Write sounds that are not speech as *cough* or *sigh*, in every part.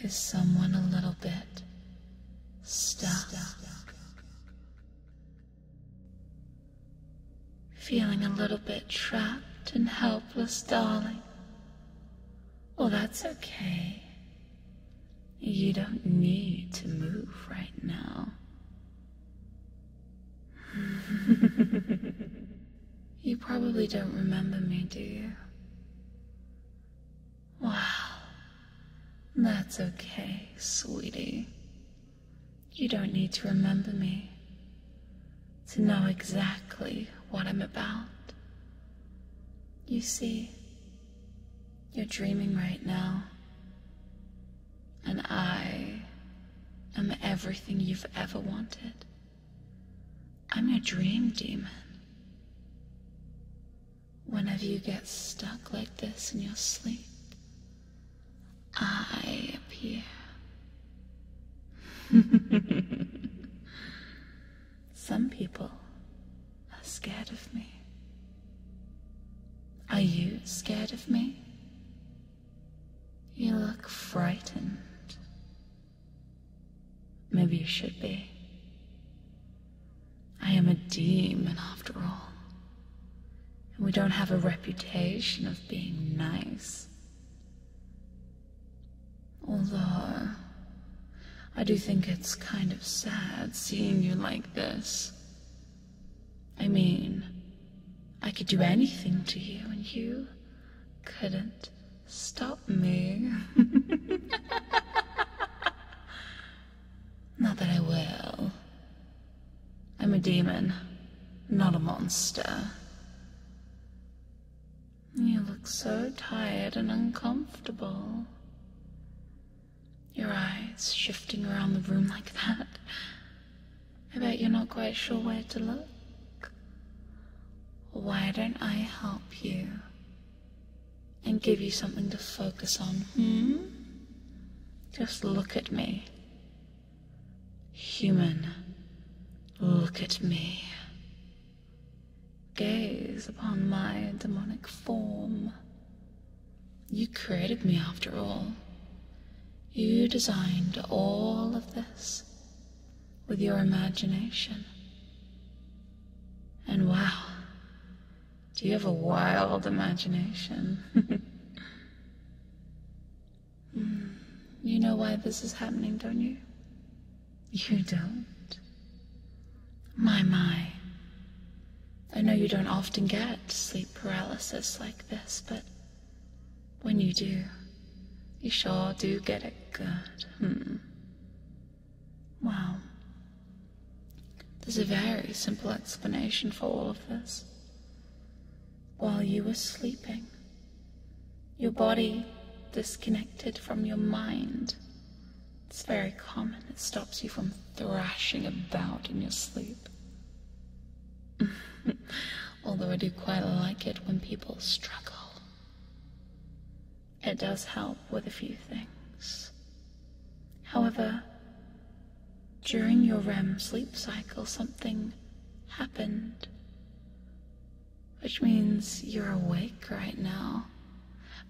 is someone a little bit stuck. Feeling a little bit trapped and helpless, darling. Well, that's okay. You don't need to move right now. *laughs* you probably don't remember me, do you? Wow. That's okay, sweetie. You don't need to remember me to know exactly what I'm about. You see, you're dreaming right now, and I am everything you've ever wanted. I'm your dream demon whenever you get stuck like this in your sleep, I appear. *laughs* Some people are scared of me. Are you scared of me? You look frightened. Maybe you should be. I am a demon after all. And we don't have a reputation of being nice. Although, I do think it's kind of sad seeing you like this. I mean, I could do anything to you and you couldn't Stop me. *laughs* not that I will. I'm a demon, not a monster. You look so tired and uncomfortable. Your eyes shifting around the room like that. I bet you're not quite sure where to look. Why don't I help you? and give you something to focus on, hmm? Just look at me. Human, look at me. Gaze upon my demonic form. You created me after all. You designed all of this with your imagination. And wow, do you have a wild imagination? *laughs* Hmm, you know why this is happening, don't you? You don't. My, my. I know you don't often get sleep paralysis like this, but when you do, you sure do get it good. Hmm. Wow. There's a very simple explanation for all of this. While you were sleeping, your body disconnected from your mind. It's very common. It stops you from thrashing about in your sleep. *laughs* Although I do quite like it when people struggle. It does help with a few things. However, during your REM sleep cycle, something happened. Which means you're awake right now,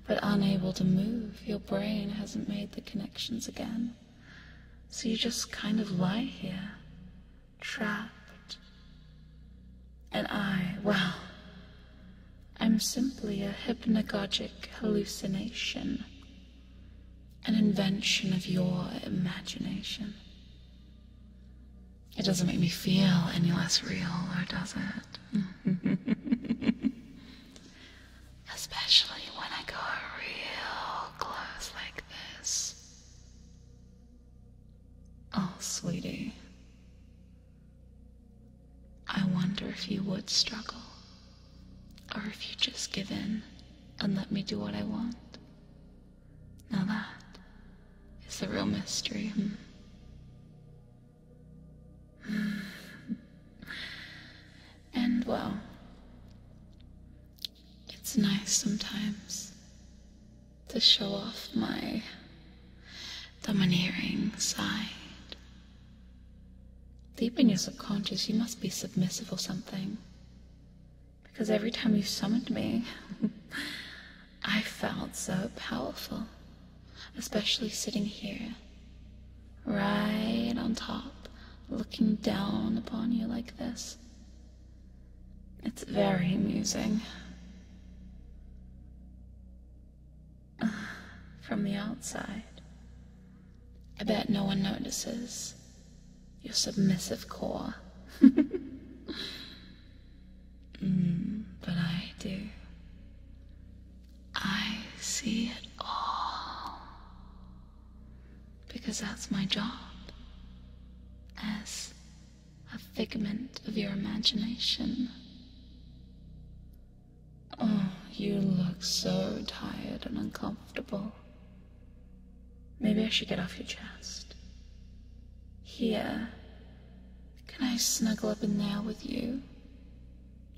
but unable to move. Your brain hasn't made the connections again. So you just kind of lie here, trapped. And I, well, I'm simply a hypnagogic hallucination, an invention of your imagination. It doesn't make me feel any less real, or does it? *laughs* Especially when I go real close like this. Oh, sweetie, I wonder if you would struggle, or if you just give in and let me do what I want. Now that is the real mystery. Hmm. Hmm. And well, it's nice sometimes to show off my domineering side. Deep in your subconscious, you must be submissive or something. Because every time you summoned me, *laughs* I felt so powerful. Especially sitting here, right on top, looking down upon you like this. It's very amusing. *sighs* From the outside. I bet no one notices. Your submissive core. *laughs* Mm, but I do. I see it all. Because that's my job. As a figment of your imagination. Oh, you look so tired and uncomfortable. Maybe I should get off your chest. Here. Can I snuggle up in there with you?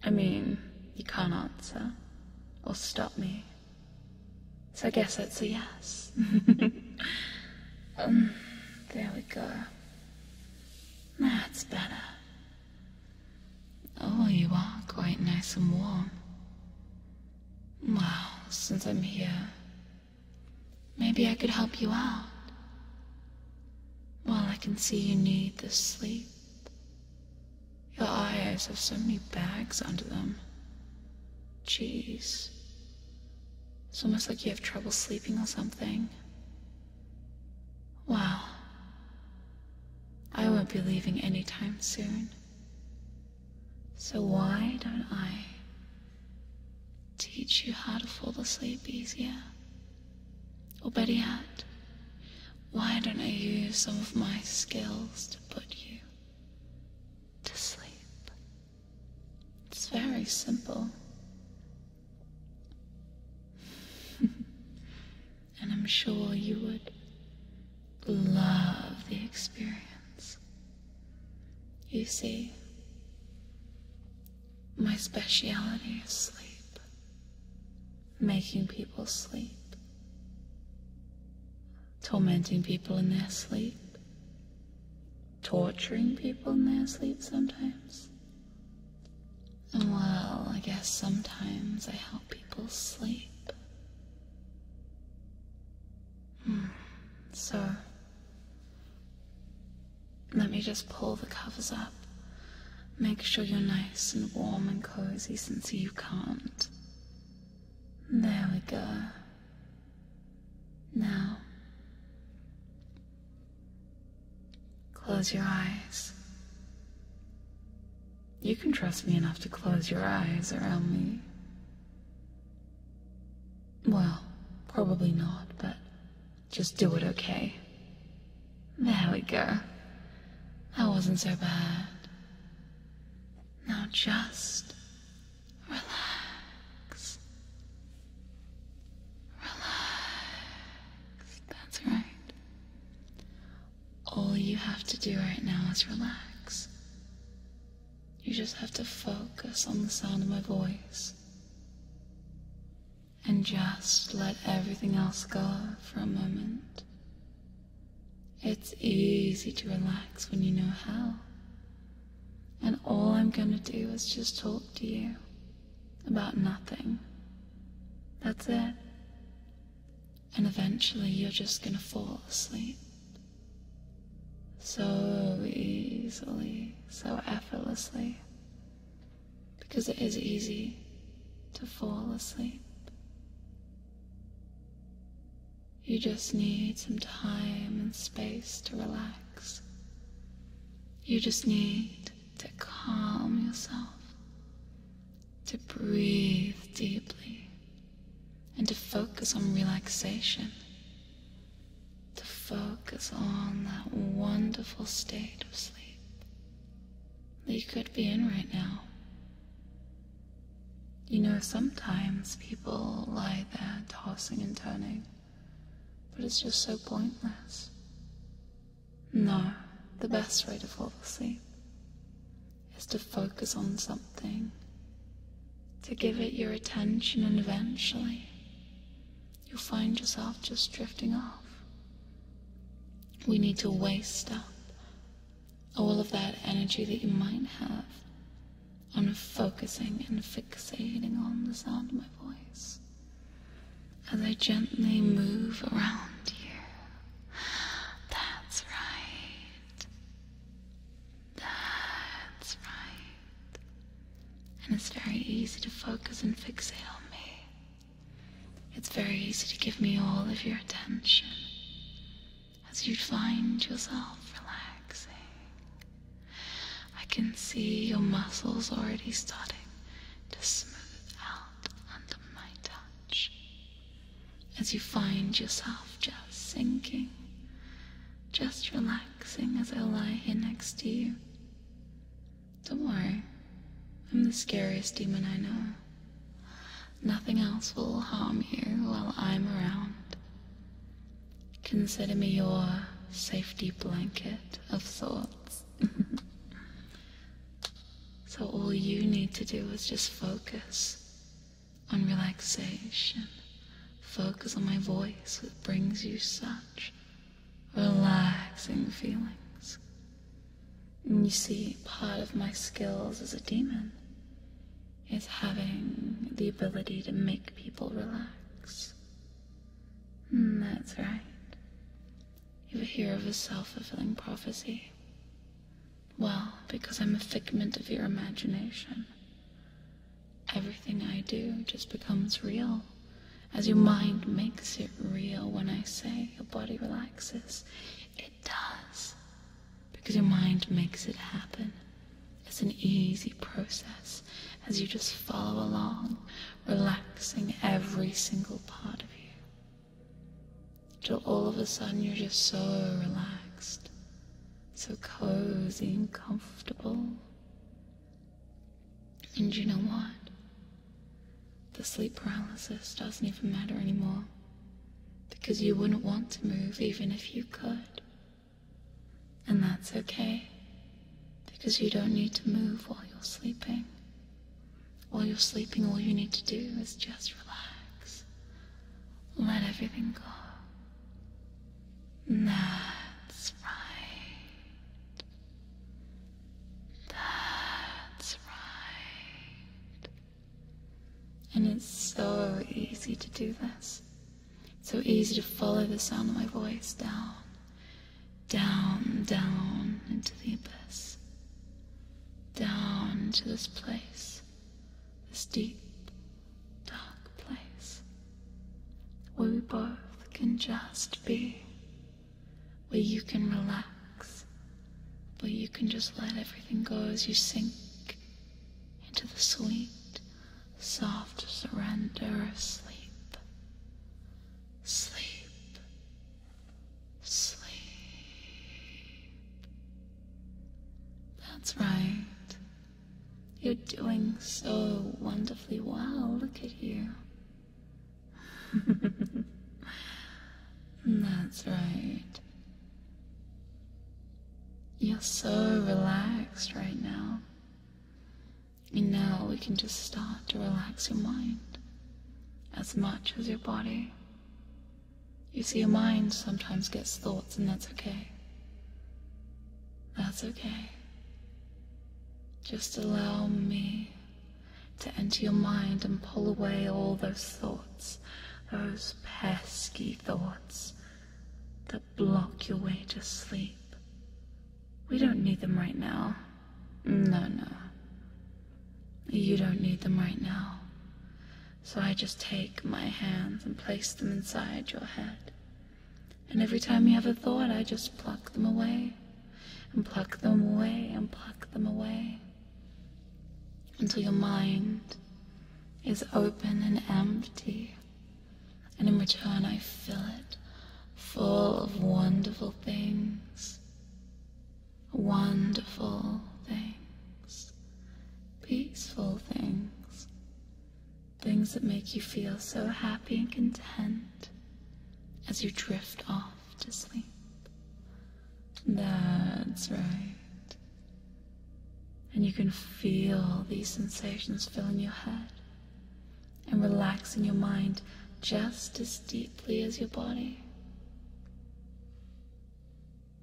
I mean, you can't answer or stop me. So I guess that's a yes. *laughs* um, there we go. That's better. Oh, you are quite nice and warm. Well, since I'm here, maybe I could help you out. Well, I can see you need the sleep. Your eyes have so many bags under them. Jeez. It's almost like you have trouble sleeping or something. Well, I won't be leaving anytime soon. So why don't I teach you how to fall asleep easier? Or better yet, why don't I use some of my skills to put you to sleep? It's very simple. *laughs* and I'm sure you would love the experience. You see, my speciality is sleep, making people sleep, tormenting people in their sleep, torturing people in their sleep sometimes. And well, I guess sometimes I help people sleep. Hmm, so, let me just pull the covers up. Make sure you're nice and warm and cozy since you can't. There we go. Now, Close your eyes. You can trust me enough to close your eyes around me. Well, probably not, but just do it okay. There we go. That wasn't so bad. Now just relax. Relax. That's right. All you have to do right now is relax. You just have to focus on the sound of my voice. And just let everything else go for a moment. It's easy to relax when you know how. And all I'm gonna do is just talk to you about nothing. That's it. And eventually you're just gonna fall asleep. So easily, so effortlessly. Because it is easy to fall asleep. You just need some time and space to relax. You just need to calm yourself, to breathe deeply, and to focus on relaxation, to focus on that wonderful state of sleep that you could be in right now. You know, sometimes people lie there tossing and turning, but it's just so pointless. No, the best way to fall asleep is to focus on something, to give it your attention, and eventually you'll find yourself just drifting off. We need to waste up all of that energy that you might have on focusing and fixating on the sound of my voice as I gently move around you. That's right. That's right. And it's very easy to focus and fixate on me. It's very easy to give me all of your attention as you find yourself relaxing. I can see your muscles already starting to smooth out under my touch as you find yourself just sinking, just relaxing as I lie here next to you. Don't worry, I'm the scariest demon I know. Nothing else will harm you while I'm around. Consider me your safety blanket of thoughts. So all you need to do is just focus on relaxation. Focus on my voice, which brings you such relaxing feelings. And you see, part of my skills as a demon is having the ability to make people relax. Mm, that's right. You hear of a self-fulfilling prophecy. Well, because I'm a figment of your imagination. Everything I do just becomes real. As your mind makes it real when I say your body relaxes, it does. Because your mind makes it happen. It's an easy process as you just follow along, relaxing every single part of you till all of a sudden you're just so relaxed, so cozy and comfortable. And you know what? The sleep paralysis doesn't even matter anymore because you wouldn't want to move even if you could. And that's okay because you don't need to move while you're sleeping. While you're sleeping, all you need to do is just relax. Let everything go. That's right. That's right. And it's so easy to do this. So easy to follow the sound of my voice down down, down into the abyss, down into this place, this deep, dark place, where we both can just be, where you can relax, where you can just let everything go as you sink into the sweet, soft surrender of sleep. Sleep Sleep. That's right. You're doing so wonderfully well. Look at you. *laughs* That's right. You're so relaxed right now. And now we can just start to relax your mind as much as your body. You see, your mind sometimes gets thoughts, and that's okay. That's okay. Just allow me to enter your mind and pull away all those thoughts, those pesky thoughts that block your way to sleep. We don't need them right now. Mm. No, no. You don't need them right now. So I just take my hands and place them inside your head. And every time you have a thought, I just pluck them away, and pluck them away, and pluck them away. Until your mind is open and empty. And in return, I fill it full of wonderful things wonderful things, peaceful things, things that make you feel so happy and content as you drift off to sleep. That's right. And you can feel these sensations filling your head and relaxing your mind just as deeply as your body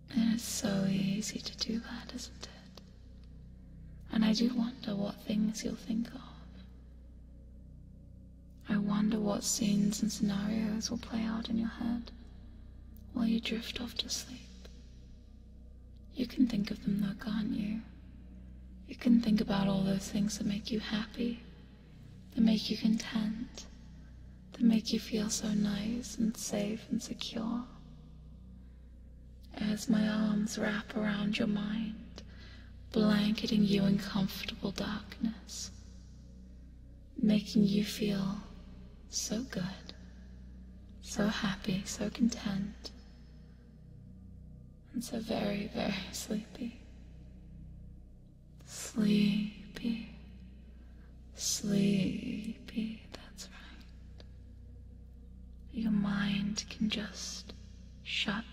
it's so easy to do that, isn't it? And I do wonder what things you'll think of. I wonder what scenes and scenarios will play out in your head while you drift off to sleep. You can think of them though, can't you? You can think about all those things that make you happy that make you content, that make you feel so nice and safe and secure. As my arms wrap around your mind, blanketing you in comfortable darkness, making you feel so good, so happy, so content, and so very, very sleepy. Sleepy, sleepy, that's right. Your mind can just shut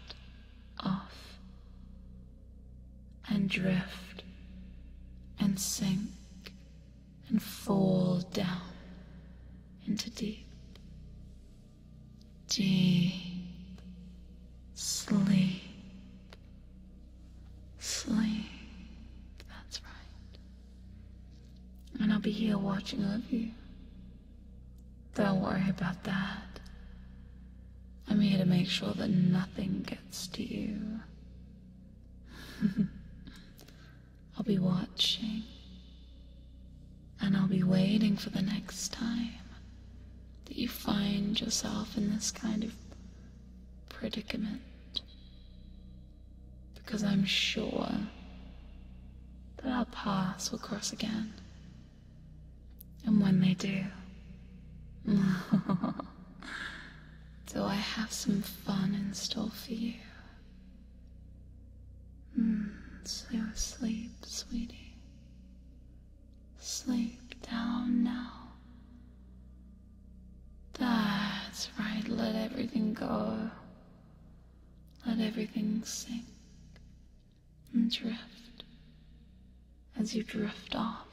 off and drift and sink and fall down into deep, deep sleep. Sleep. That's right. And I'll be here watching over you. Don't worry about that. I'm here to make sure that nothing gets to you. *laughs* I'll be watching. And I'll be waiting for the next time that you find yourself in this kind of predicament. Because I'm sure that our paths will cross again. And when they do, *laughs* do I have some fun in store for you? Mm, sleep, sweetie. Sleep down now. That's right, let everything go. Let everything sink and drift as you drift off.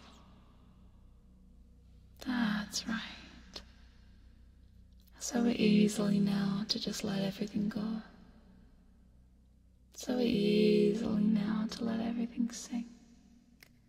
That's right. So easily now to just let everything go. So easily now to let everything sink